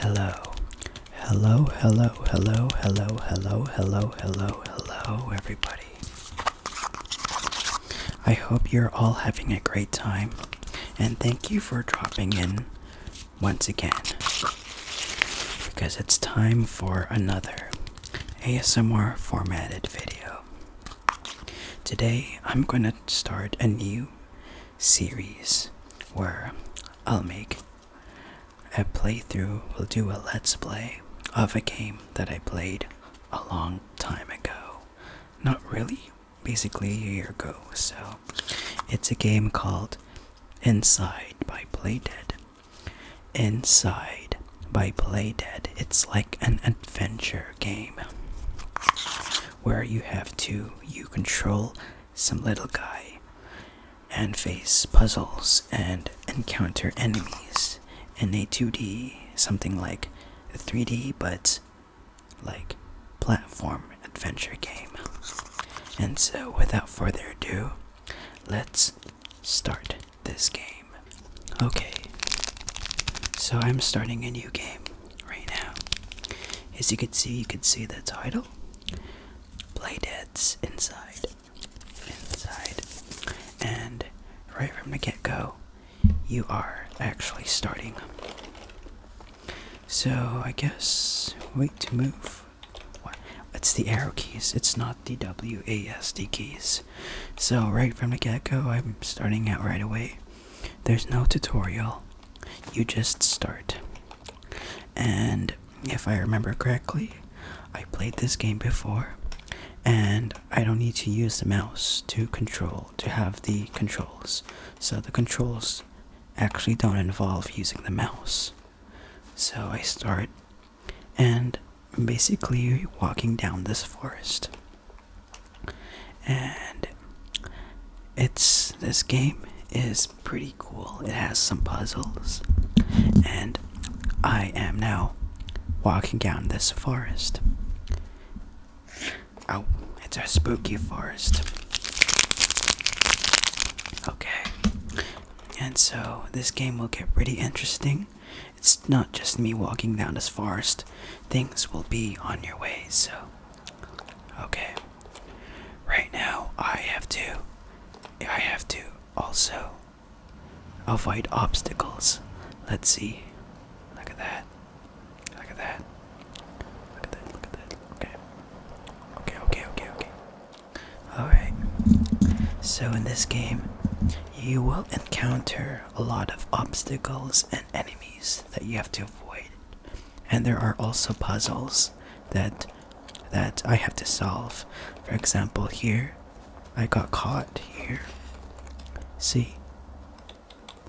Hello, hello, hello, hello, hello, hello, hello, hello, hello, everybody. I hope you're all having a great time, and thank you for dropping in once again because it's time for another ASMR formatted video today I'm going to start a new series where I'll make a playthrough, we'll do a let's play of a game that I played a long time ago. Not really, basically a year ago. So, it's a game called Inside by Playdead. Inside by Playdead. It's like an adventure game where you have to you control some little guy and face puzzles and encounter enemies in a 2D something like a 3D but like platform adventure game. And so without further ado, let's start this game. Okay, so I'm starting a new game right now. As you can see, you can see the title Playdead's Inside. Inside. And right from the get go, you are actually starting. So I guess, wait to move. What? It's the arrow keys, it's not the WASD keys. So, right from the get go, I'm starting out right away. There's no tutorial, you just start. And if I remember correctly, I played this game before, and I don't need to use the mouse to control, to have the controls. So the controls actually don't involve using the mouse. So I start, and basically walking down this forest and it's this game is pretty cool. It has some puzzles, and I am now walking down this forest. Oh, it's a spooky forest. Okay, and so this game will get pretty interesting. It's not just me walking down this forest, things will be on your way. So, okay. Right now, I have to. I have to also avoid obstacles. Let's see. Look at that. Look at that. Look at that. Look at that. Okay. Okay, okay, okay, okay. Alright. So, in this game, you will encounter a lot of obstacles and enemies that you have to avoid and there are also puzzles that that I have to solve for example here I got caught here see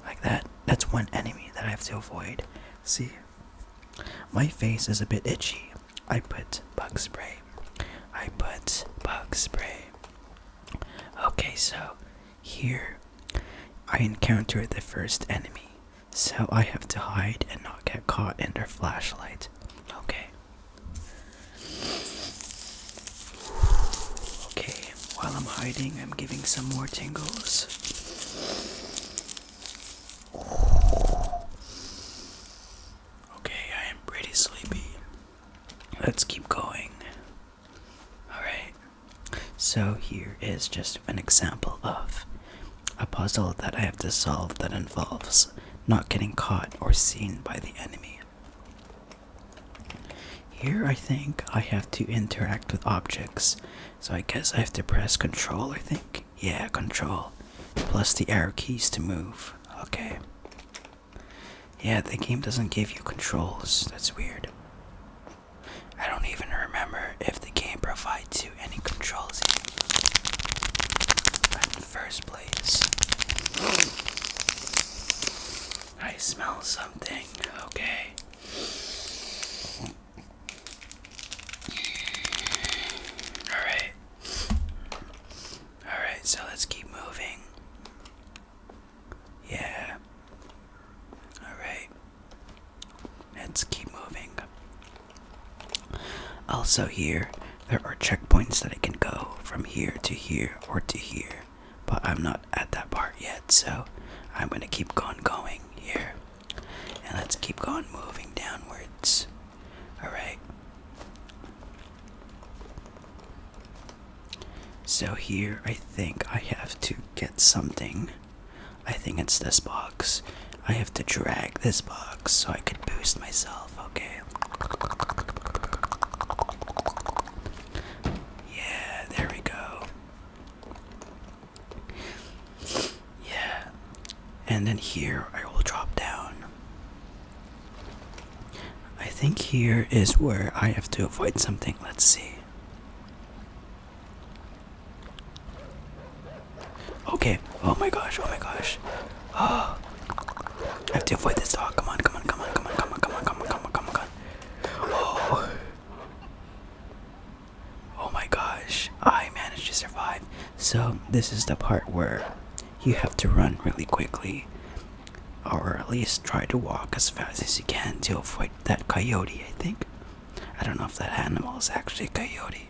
like that that's one enemy that I have to avoid see my face is a bit itchy I put bug spray I put bug spray okay so here, I encounter the first enemy, so I have to hide and not get caught in their flashlight. Okay. Okay, while I'm hiding, I'm giving some more tingles. Okay, I am pretty sleepy. Let's keep going. Alright, so here is just an example of a puzzle that I have to solve that involves not getting caught or seen by the enemy. Here I think I have to interact with objects, so I guess I have to press control I think. Yeah, control, plus the arrow keys to move. Okay. Yeah, the game doesn't give you controls. That's weird. I don't even remember if the game provides you any controls in first place. I smell something. Okay. Alright. Alright, so let's keep moving. Yeah. Alright. Let's keep moving. Also, here, there are checkpoints that I can go from here to here or to here. But I'm not at that part yet, so I'm gonna keep on going here. And let's keep going, moving downwards. Alright. So here I think I have to get something. I think it's this box. I have to drag this box so I could boost myself, okay? Yeah, there we go. Yeah. And then here I will drop down. I think here is where I have to avoid something. Let's see. Okay. Oh my gosh. Oh my gosh. Oh. I have to avoid this dog. Come on. Come on. Come on. Come on. Come on. Come on. Come on. Come on. Come on. Oh. Oh my gosh. I managed to survive. So this is the part where you have to run really quickly or at least try to walk as fast as you can to avoid that coyote, I think. I don't know if that animal is actually a coyote.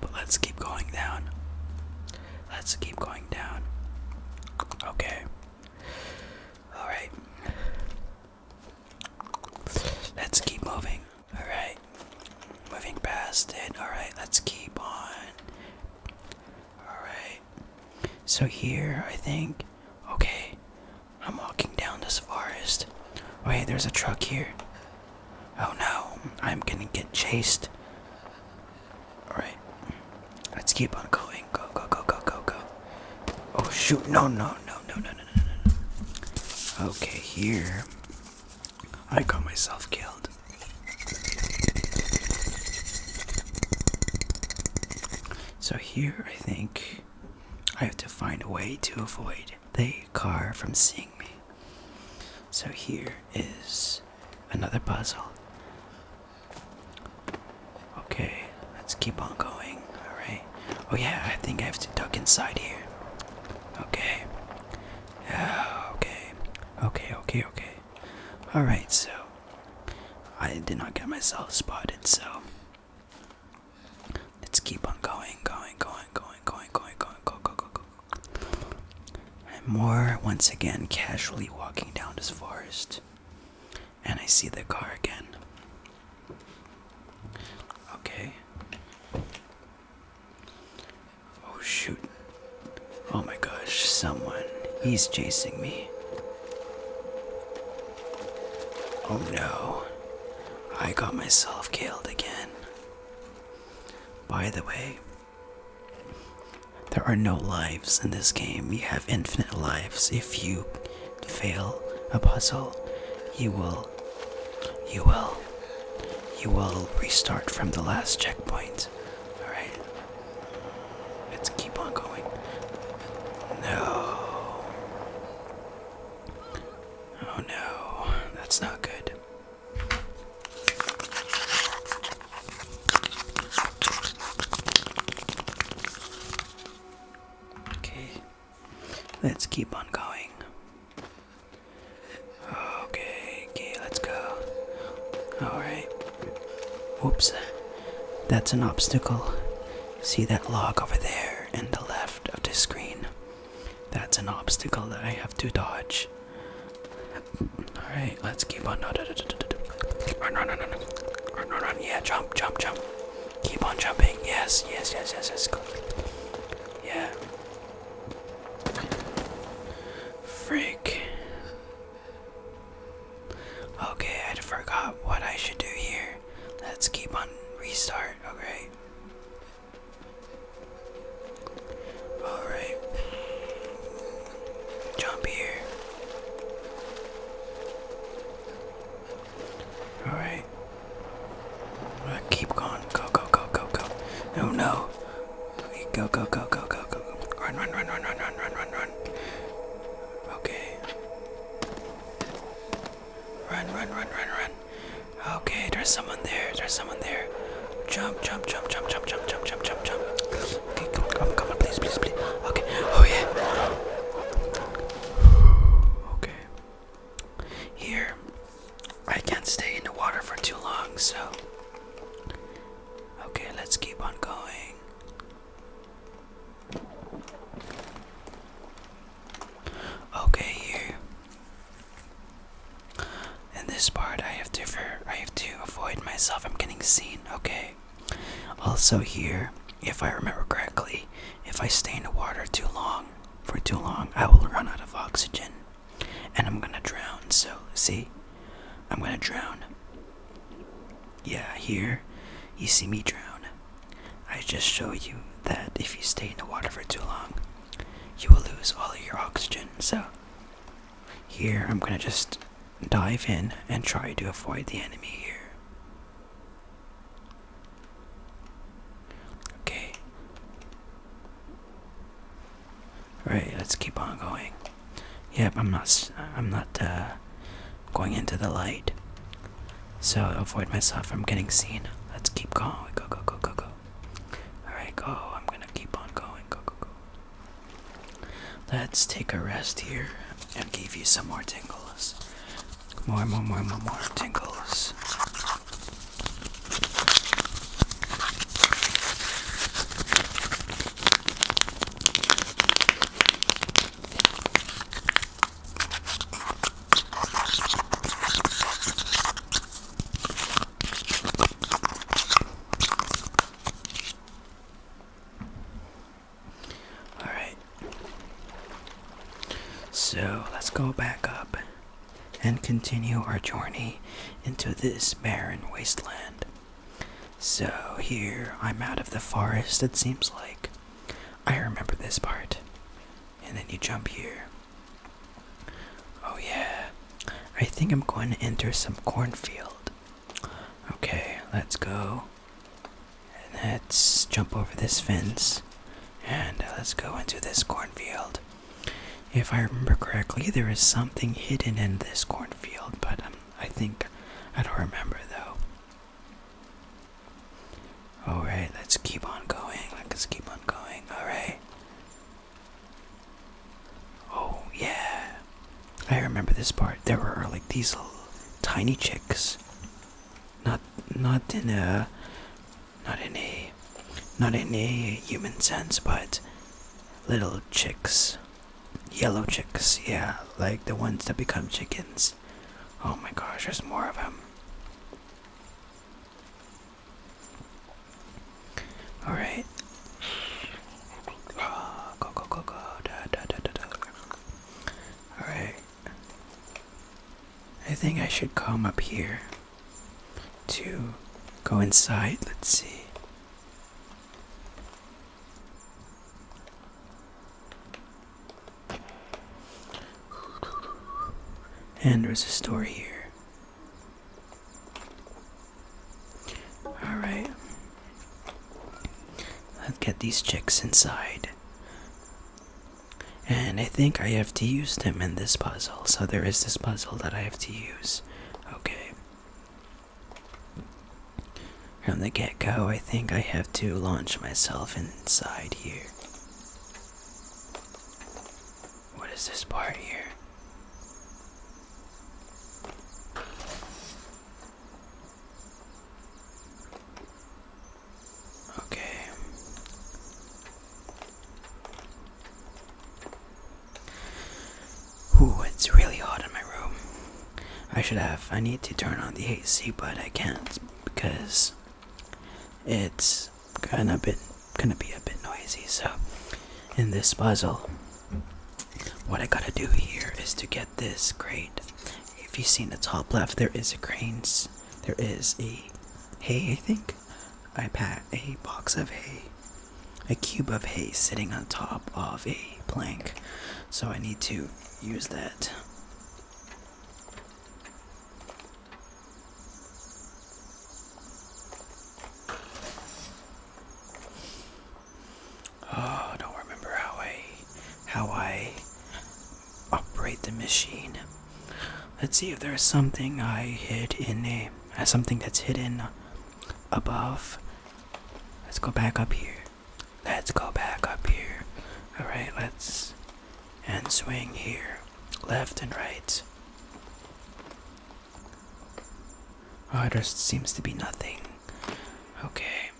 But let's keep going down. Let's keep going down. Okay. Alright. Let's keep moving. Alright. Moving past it. Alright, let's keep on. Alright. Okay. So here, I think. Okay. I'm walking down this forest. Oh, hey, there's a truck here. Oh no, I'm gonna get chased. Alright. Let's keep on going. Go, go, go, go, go, go. Oh shoot, no, no, no, no, no, no, no, no. Okay, here. I got myself killed. So here I think I have to find a way to avoid the car from seeing me. So here is another puzzle. Okay, let's keep on going. Alright. Oh yeah, I think I have to duck inside here. Okay. okay. Okay, okay, okay. Alright, so I did not get myself spotted, so let's keep on going, going, going, going, going, going, going, go, go, go, go. I'm more once again casually walking down this forest, and I see the car again. Okay. Oh shoot. Oh my gosh, someone. He's chasing me. Oh no. I got myself killed again. By the way, there are no lives in this game. You have infinite lives. If you fail a puzzle, you will, you will, you will restart from the last checkpoint. Alright, Let's keep on going. No. Oh no, that's not good. Okay, let's keep on going. Okay, okay, let's go. Alright. Whoops. That's an obstacle. See that log over there in the left of the screen? That's an obstacle that I have to dodge. Alright, let's keep on. Run, run, run, run. Run, run, run. Yeah, jump, jump, jump. Keep on jumping. Yes, yes, yes, yes, yes. Yeah. Freak. Okay, I forgot what I should do here. Let's keep on restart, okay? Alright. Jump here. Alright. Keep going. Go, go, go, go, go. Oh no. Go, go, go, go, go, go. Run, run, run, run, run, run, run, run, run, run. Okay. Run, run, run, run, run. Okay, there's someone there. There's someone there. Jump, jump, jump, jump, jump, jump, jump, jump, jump, jump. Okay, come on, come on, please, please, please. Okay. Oh yeah. Okay. Here. I can't stay in the water for too long, so. Okay, let's keep on going. Okay, here. In this part, I have to I have to avoid myself. I'm getting seen. Okay. Also here, if I remember correctly, if I stay in the water too long, for too long, I will run out of oxygen, and I'm gonna drown. So see, I'm gonna drown. Yeah, here, you see me drown. I just show you that if you stay in the water for too long, you will lose all of your oxygen. So, here, I'm gonna just dive in and try to avoid the enemy here. Okay. Alright, let's keep on going. Yep, I'm not. I'm not uh, going into the light. So avoid myself from getting seen. Let's keep going. Go go go go go. All right, go. I'm gonna keep on going. Go go go. Let's take a rest here and give you some more tingles. More more more more more tingles. All right. So let's go back up and continue our journey into this barren wasteland. So here I'm out of the forest, it seems like. I remember this part. And then you jump here. Oh, yeah. I think I'm going to enter some cornfield. Okay, let's go. let's jump over this fence. And uh, let's go into this cornfield. If I remember correctly, there is something hidden in this cornfield, but I think I don't remember though. Alright, let's keep on going. Let's keep on going. Alright. Oh yeah. I remember this part. There were like these little tiny chicks. Not not in a not in a not in a human sense, but little chicks Yellow chicks, yeah, like the ones that become chickens. Oh my gosh, there's more of them. Alright. Oh, go, go, go, go. Da, da, da, da, da. Alright. I think I should come up here to go inside. Let's see. And there's a store here. Alright. Let's get these chicks inside. And I think I have to use them in this puzzle. So there is this puzzle that I have to use. Okay. From the get go, I think I have to launch myself inside here. What is this part here? Okay. Ooh, it's really hot in my room. I should have. I need to turn on the AC, but I can't because it's gonna be gonna be a bit noisy. So, in this puzzle, what I gotta do here is to get this crate. If you see in the top left, there is a cranes. There is a hay. I think I pat a box of hay, a cube of hay sitting on top of a plank. So I need to use that. Oh, don't remember how I how I operate the machine. Let's see if there's something I hid in a uh, something that's hidden above. Let's go back up here. Let's go back up here. Alright, let's. And swing here. Left and right. Oh, it just seems to be nothing. Okay.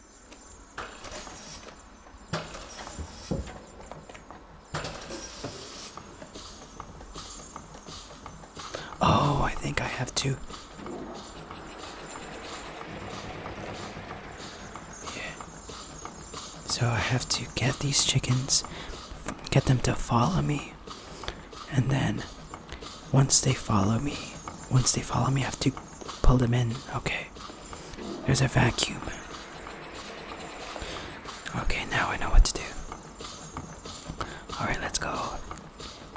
Oh, I think I have to so I have to get these chickens, get them to follow me, and then once they follow me, once they follow me, I have to pull them in. Okay. There's a vacuum. Okay, now I know what to do. Alright, let's go.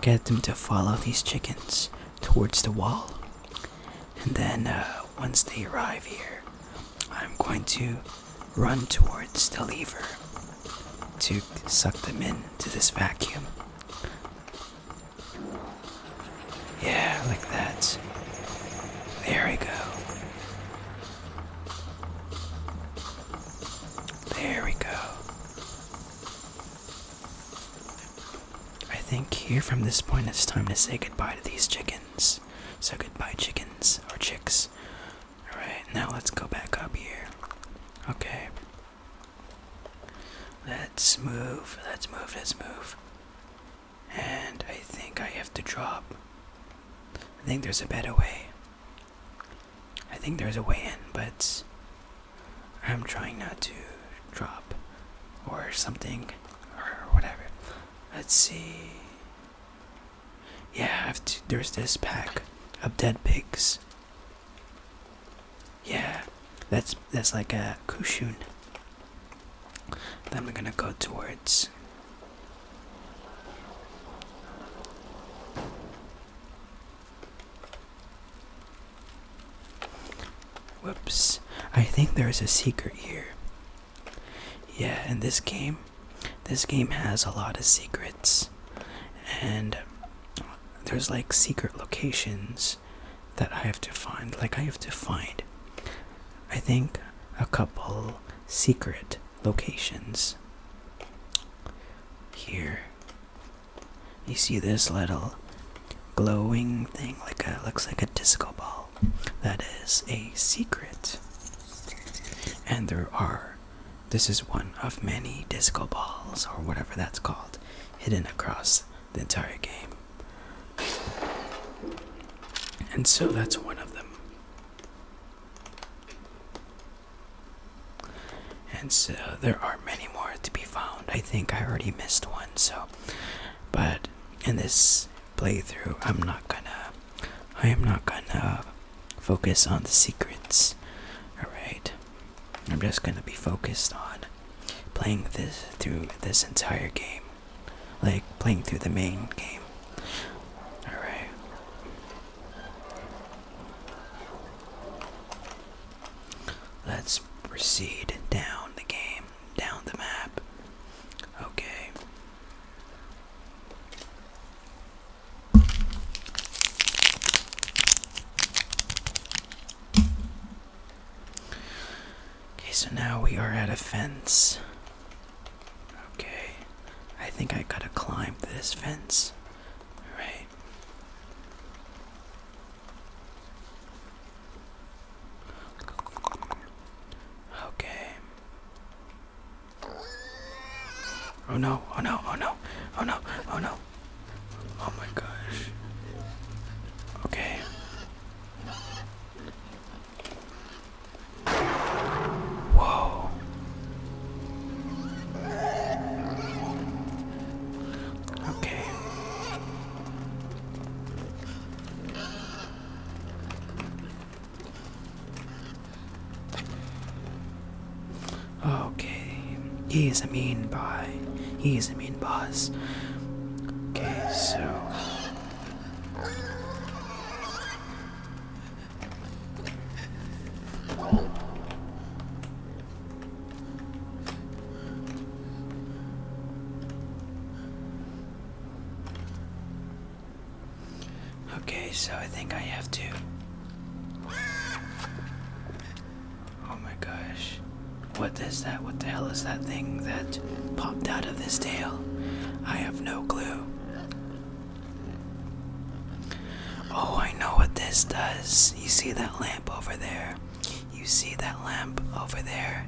Get them to follow these chickens towards the wall. And then uh, once they arrive here, I'm going to run towards the lever to suck them into this vacuum. Yeah, like that. There we go. There we go. I think here from this point it's time to say goodbye to these chickens. So goodbye chickens or chicks. Alright, now let's go back up here. Okay. Let's move, let's move, let's move. And I think I have to drop. I think there's a better way. I think there's a way in, but I'm trying not to drop or something or whatever. Let's see. Yeah, There's this pack of dead pigs. Yeah, that's that's like a cushion. Then we're gonna go towards. Whoops. I think there's a secret here. Yeah, in this game, this game has a lot of secrets. And there's like secret locations that I have to find. Like, I have to find, I think, a couple secret locations here you see this little glowing thing, like a looks like a disco ball. That is a secret. And there are. This is one of many disco balls, or whatever that's called, hidden across the entire game. And so that's one of them. And so there are many more to be found. I think I already missed one, so but in this playthrough, I'm not gonna, I am not gonna focus on the secrets. All right, I'm just gonna be focused on playing this through this entire game, like playing through the main game. All right. Let's proceed down the game, down the map. Okay. Okay, so now we are at a fence. Okay, I think I gotta climb this fence. Alright. Okay. Oh no, oh no, oh no, oh no, oh no. Oh my gosh. Okay. Whoa. Okay. Okay, he is a mean boy. He is a mean boss. Okay, so. Okay, so I think I have to. Oh my gosh. What is that? What the hell is that thing that popped out of this tail? I have no clue. Oh, I know what this does. You see that lamp over there? You see that lamp over there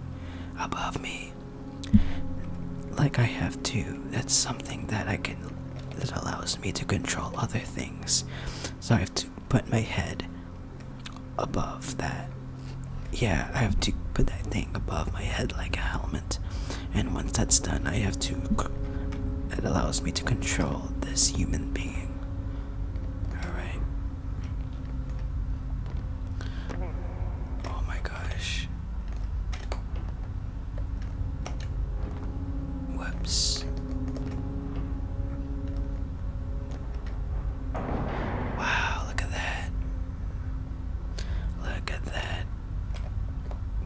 above me? Like I have to. That's something that I can that allows me to control other things. So I have to put my head above that. Yeah, I have to put that thing above my head like a helmet. And once that's done, I have to it allows me to control this human being. All right. Oh my gosh. Whoops. Wow, look at that. Look at that.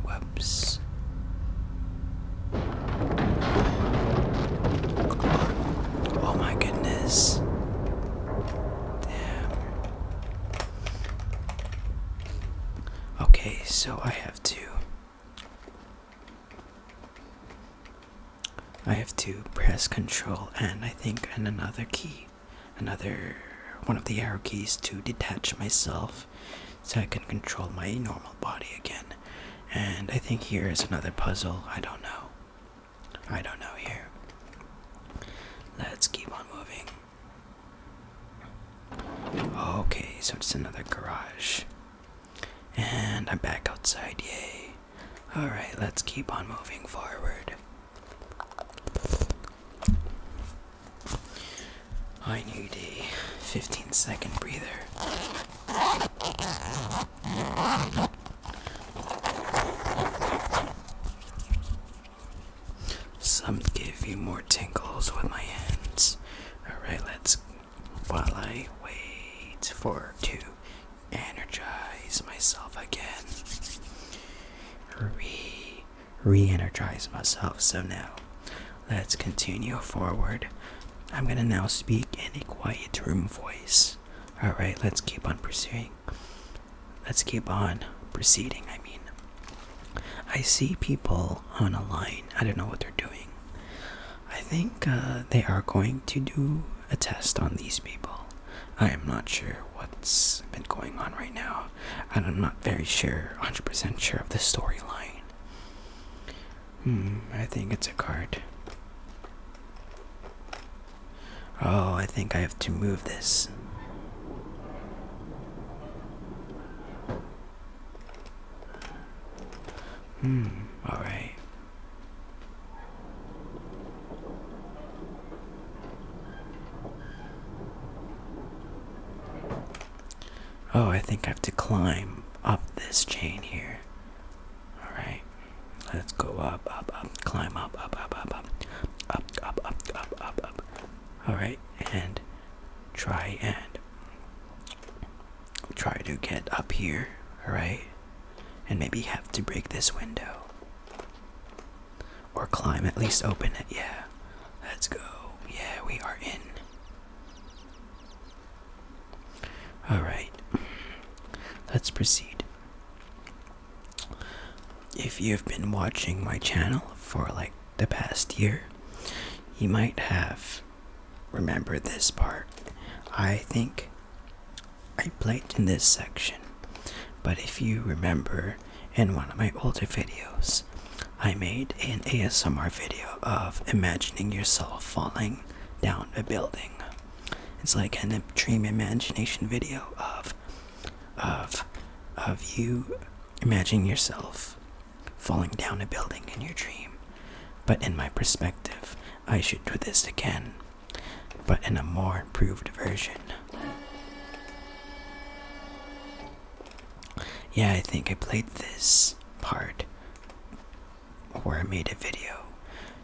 Whoops. Oh my goodness. Damn. Okay, so I have to. I have to press control and I think and another key, another one of the arrow keys to detach myself so I can control my normal body again. And I think here is another puzzle. I don't know. I don't know here. Let's keep on moving. Okay, so it's another garage. And I'm back outside, yay. Alright, let's keep on moving forward. I need a 15 second breather. Some give you more tinkles with my hands. Alright, let's. While I wait for to energize myself again. Re. Re energize myself. So now, let's continue forward. I'm gonna now speak in a quiet room voice. All right, let's keep on pursuing. Let's keep on proceeding. I mean, I see people on a line. I don't know what they're doing. I think uh, they are going to do a test on these people. I am not sure what's been going on right now, and I'm not very sure, 100% sure of the storyline. Hmm, I think it's a card. Oh, I think I have to move this. Hmm, alright. Oh, I think I have to climb up this chain here. All right, let's go up, up, up, climb up, up, up, up, up, up, up, up, up, up, up. All right, and try and try to get up here. All right, and maybe have to break this window or climb at least open it. Yeah, let's go. Yeah, we are in. All right, let's proceed. If you've been watching my channel for like the past year, you might have remembered this part. I think I played in this section, but if you remember in one of my older videos, I made an ASMR video of imagining yourself falling down a building. It's like a dream imagination video of of of you imagining yourself falling down a building in your dream. But in my perspective, I should do this again, but in a more improved version. Yeah, I think I played this part where I made a video.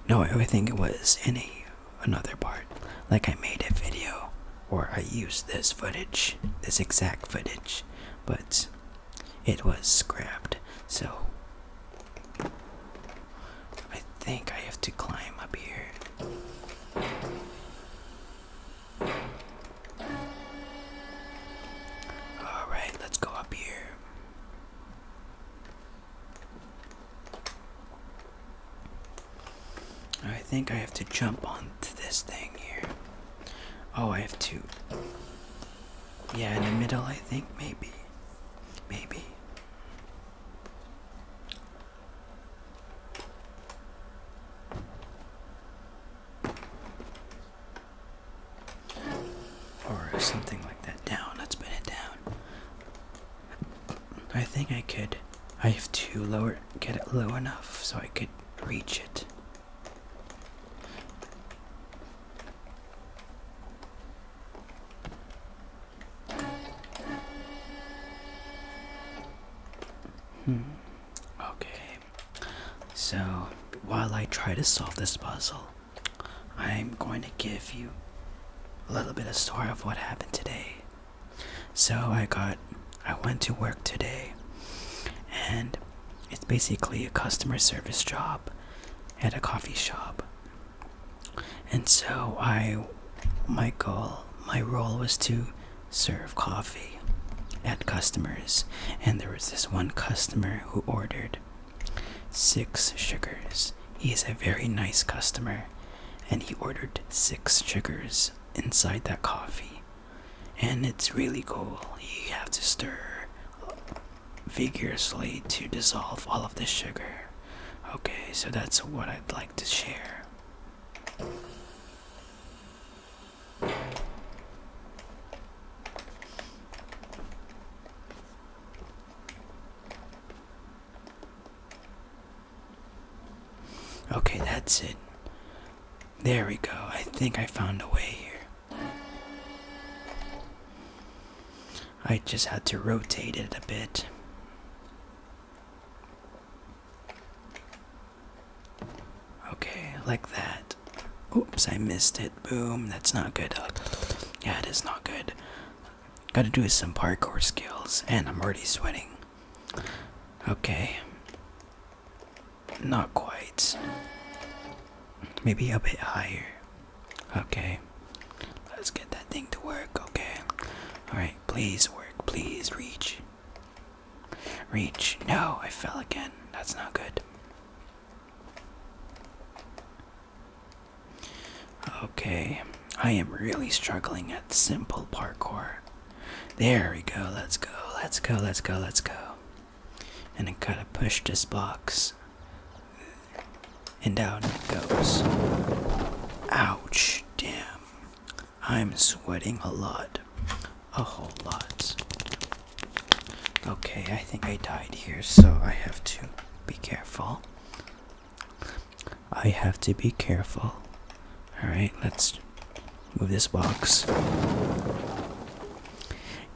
No, I think it was in a another part. Like I made a video or I used this footage, this exact footage, but it was scrapped. So I think I have to climb up here. All right, let's go up here. I think I have to jump onto this thing here. Oh, I have two. Yeah, in the middle, I think, maybe. Maybe. Or something like that. Down, let's put it down. I think I could. I have to lower, get it low enough so I could reach it. Hmm. Okay. So, while I try to solve this puzzle, I'm going to give you a little bit of story of what happened today. So I got, I went to work today, and it's basically a customer service job at a coffee shop. And so I, my goal, my role was to serve coffee at customers, and there was this one customer who ordered Six sugars. He is a very nice customer, and he ordered six sugars inside that coffee. And it's really cool. You have to stir vigorously to dissolve all of the sugar. Okay, so that's what I'd like to share. Okay, that's it. There we go. I think I found a way here. I just had to rotate it a bit. Okay, like that. Oops, I missed it. Boom, that's not good. Yeah, it is not good. Gotta do some parkour skills, and I'm already sweating. Okay. Not quite. Maybe a bit higher. Okay. Let's get that thing to work. Okay. Alright, please work. Please reach. Reach. No, I fell again. That's not good. Okay, I am really struggling at simple parkour. There we go, let's go, let's go, let's go, let's go. And I gotta push this box. And down it goes. Ouch, damn. I'm sweating a lot. A whole lot. Okay, I think I died here, so I have to be careful. I have to be careful. Alright, let's move this box.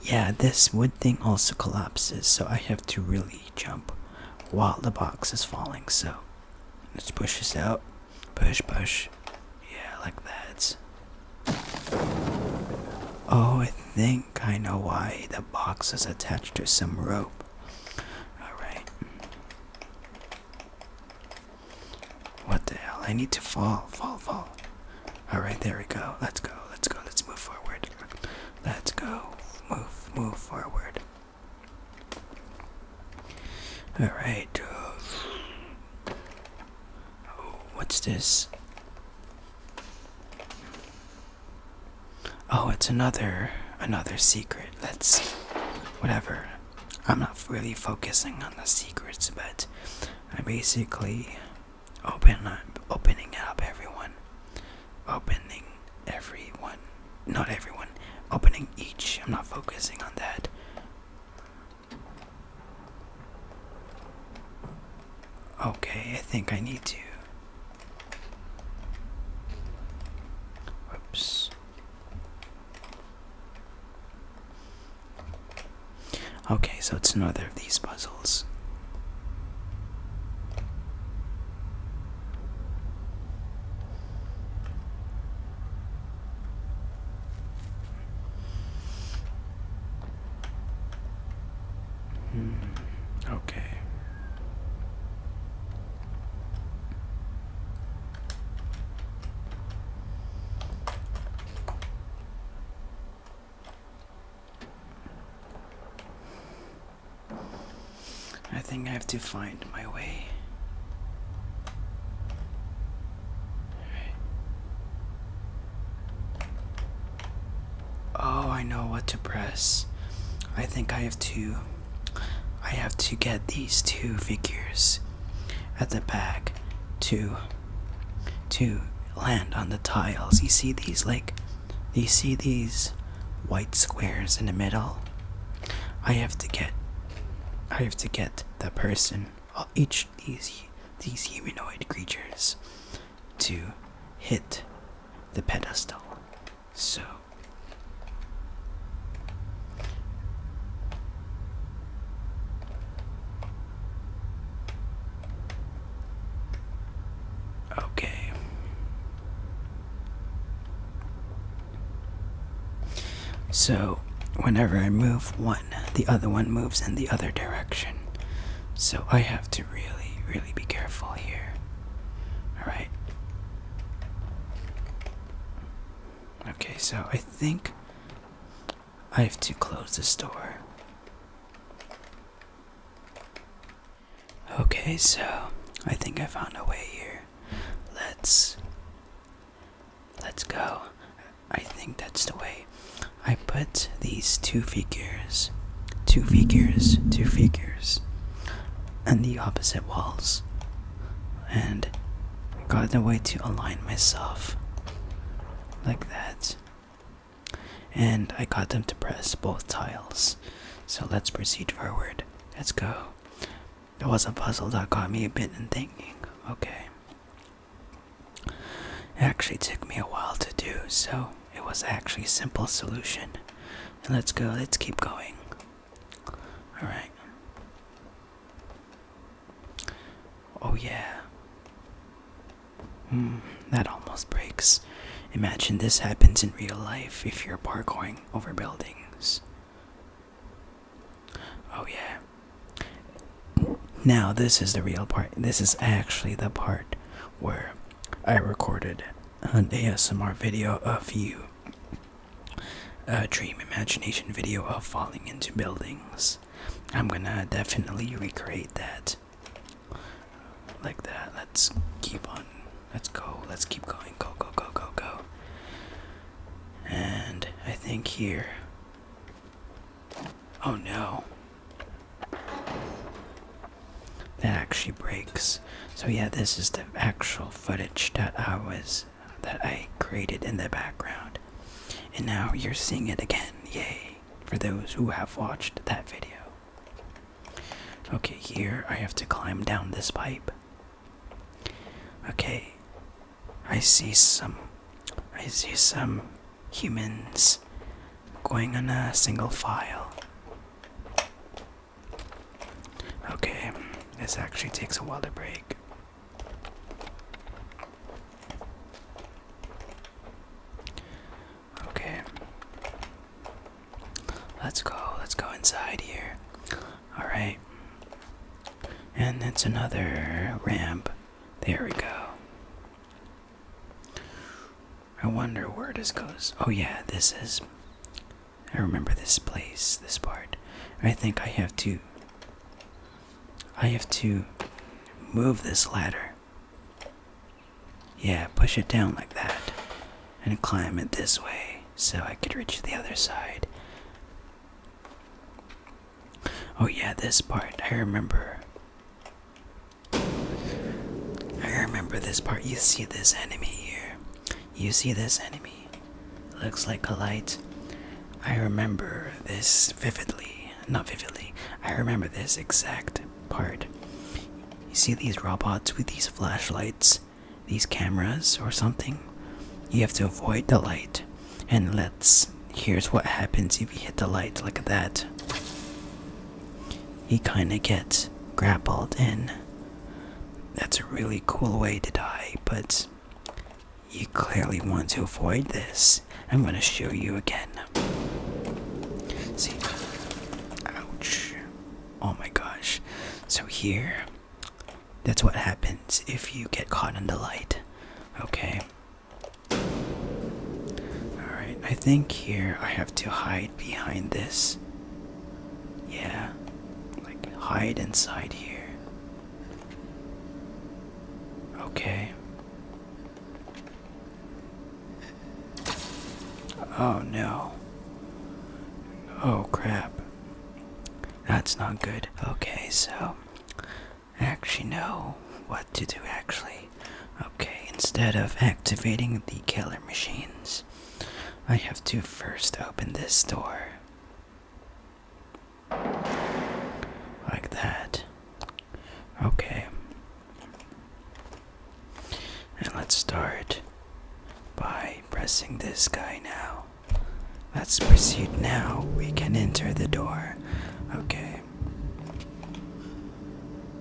Yeah, this wood thing also collapses, so I have to really jump while the box is falling. So let's push this out. Push, push. Yeah, like that. Oh, I think I know why the box is attached to some rope. Alright. What the hell? I need to fall, fall, fall. Alright, there we go. Let's go, let's go, let's move forward. Let's go. Move, move forward. Alright. Uh, what's this? Oh, it's another another secret. Let's Whatever. I'm not really focusing on the secrets, but I basically open opening up everyone. Opening everyone. Not everyone. Opening each. I'm not focusing on that. Okay, I think I need to Whoops. Okay, so it's another of these puzzles. Hmm. Okay. I think I have to find my way. Oh, I know what to press. I think I have to. I have to get these two figures at the back to to land on the tiles. You see these like you see these white squares in the middle? I have to get I have to get the person uh, each these these humanoid creatures to hit the pedestal. So Okay. So, whenever I move one, the other one moves in the other direction. So, I have to really, really be careful here. Alright. Okay, so I think I have to close this door. Okay, so I think I found a way here. Let's let's go. I think that's the way. I put these two figures, two figures, two figures and the opposite walls and got the way to align myself like that and I got them to press both tiles so let's proceed forward let's go it was a puzzle that got me a bit in thinking okay it actually took me a while to do so it was actually simple solution and let's go, let's keep going. Alright. Oh, yeah. Mm, that almost breaks. Imagine this happens in real life if you're parkouring over buildings. Oh, yeah. Now, this is the real part. This is actually the part where I recorded an ASMR video of you, a dream imagination video of falling into buildings. I'm gonna definitely recreate that. Like that. Let's keep on. Let's go. Let's keep going. Go, go, go, go, go. And I think here. Oh no that actually breaks. So yeah, this is the actual footage that I was that I created in the background. And now you're seeing it again. Yay for those who have watched that video. Okay, here I have to climb down this pipe. Okay. I see some I see some humans going in a single file. Okay, this actually takes a while to break. Okay. Let's go, let's go inside here. Alright. And that's another ramp. There we go. I wonder where this goes. Oh, yeah, this is. I remember this place, this part. I think I have to. I have to move this ladder. Yeah, push it down like that and climb it this way so I could reach the other side. Oh, yeah, this part. I remember. I remember this part. You see this enemy here. You see this enemy? Looks like a light. I remember this vividly. Not vividly. I remember this exact part. You see these robots with these flashlights, these cameras, or something? You have to avoid the light. And let's. Here's what happens if you hit the light like that. He kinda gets grappled in. That's a really cool way to die, but you clearly want to avoid this. I'm gonna show you again. See? Ouch. Oh my gosh. So here, that's what happens if you get caught in the light. Okay. Alright, I think here I have to hide behind this. Yeah, like hide inside here. Okay. Oh no. Oh crap. That's not good. Okay, so I actually know what to do actually. Okay, instead of activating the killer machines, I have to first open this door. Like that. Okay. And let's start by pressing this guy now. Let's proceed now. We can enter the door. Okay.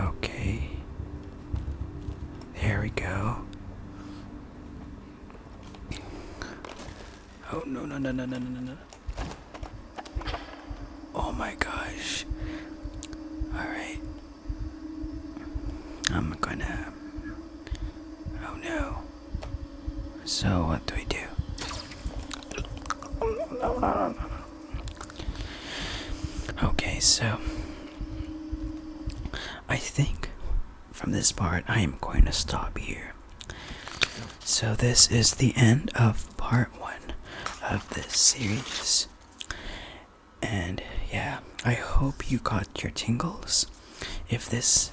Okay. There we go. Oh no no no no no no no. Oh my gosh. Alright. I'm gonna Oh no. So what do we do? No no no no no Okay, so I think from this part I am going to stop here. So, this is the end of part one of this series. And yeah, I hope you got your tingles. If this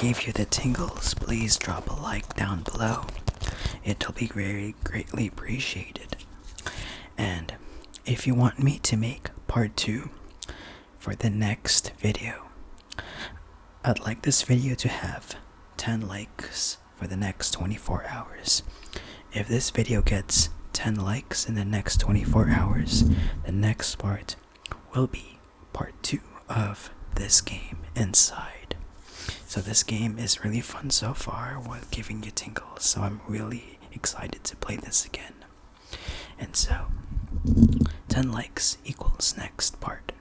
gave you the tingles, please drop a like down below. It'll be very greatly appreciated. And if you want me to make part two for the next video, I'd like this video to have 10 likes for the next 24 hours. If this video gets 10 likes in the next 24 hours, the next part will be part two of this game inside so this game is really fun so far with giving you tingles. So I'm really excited to play this again. And so 10 likes equals next part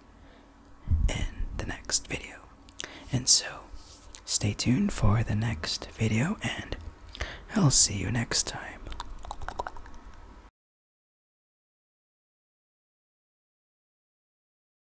in the next video. And so stay tuned for the next video and I'll see you next time.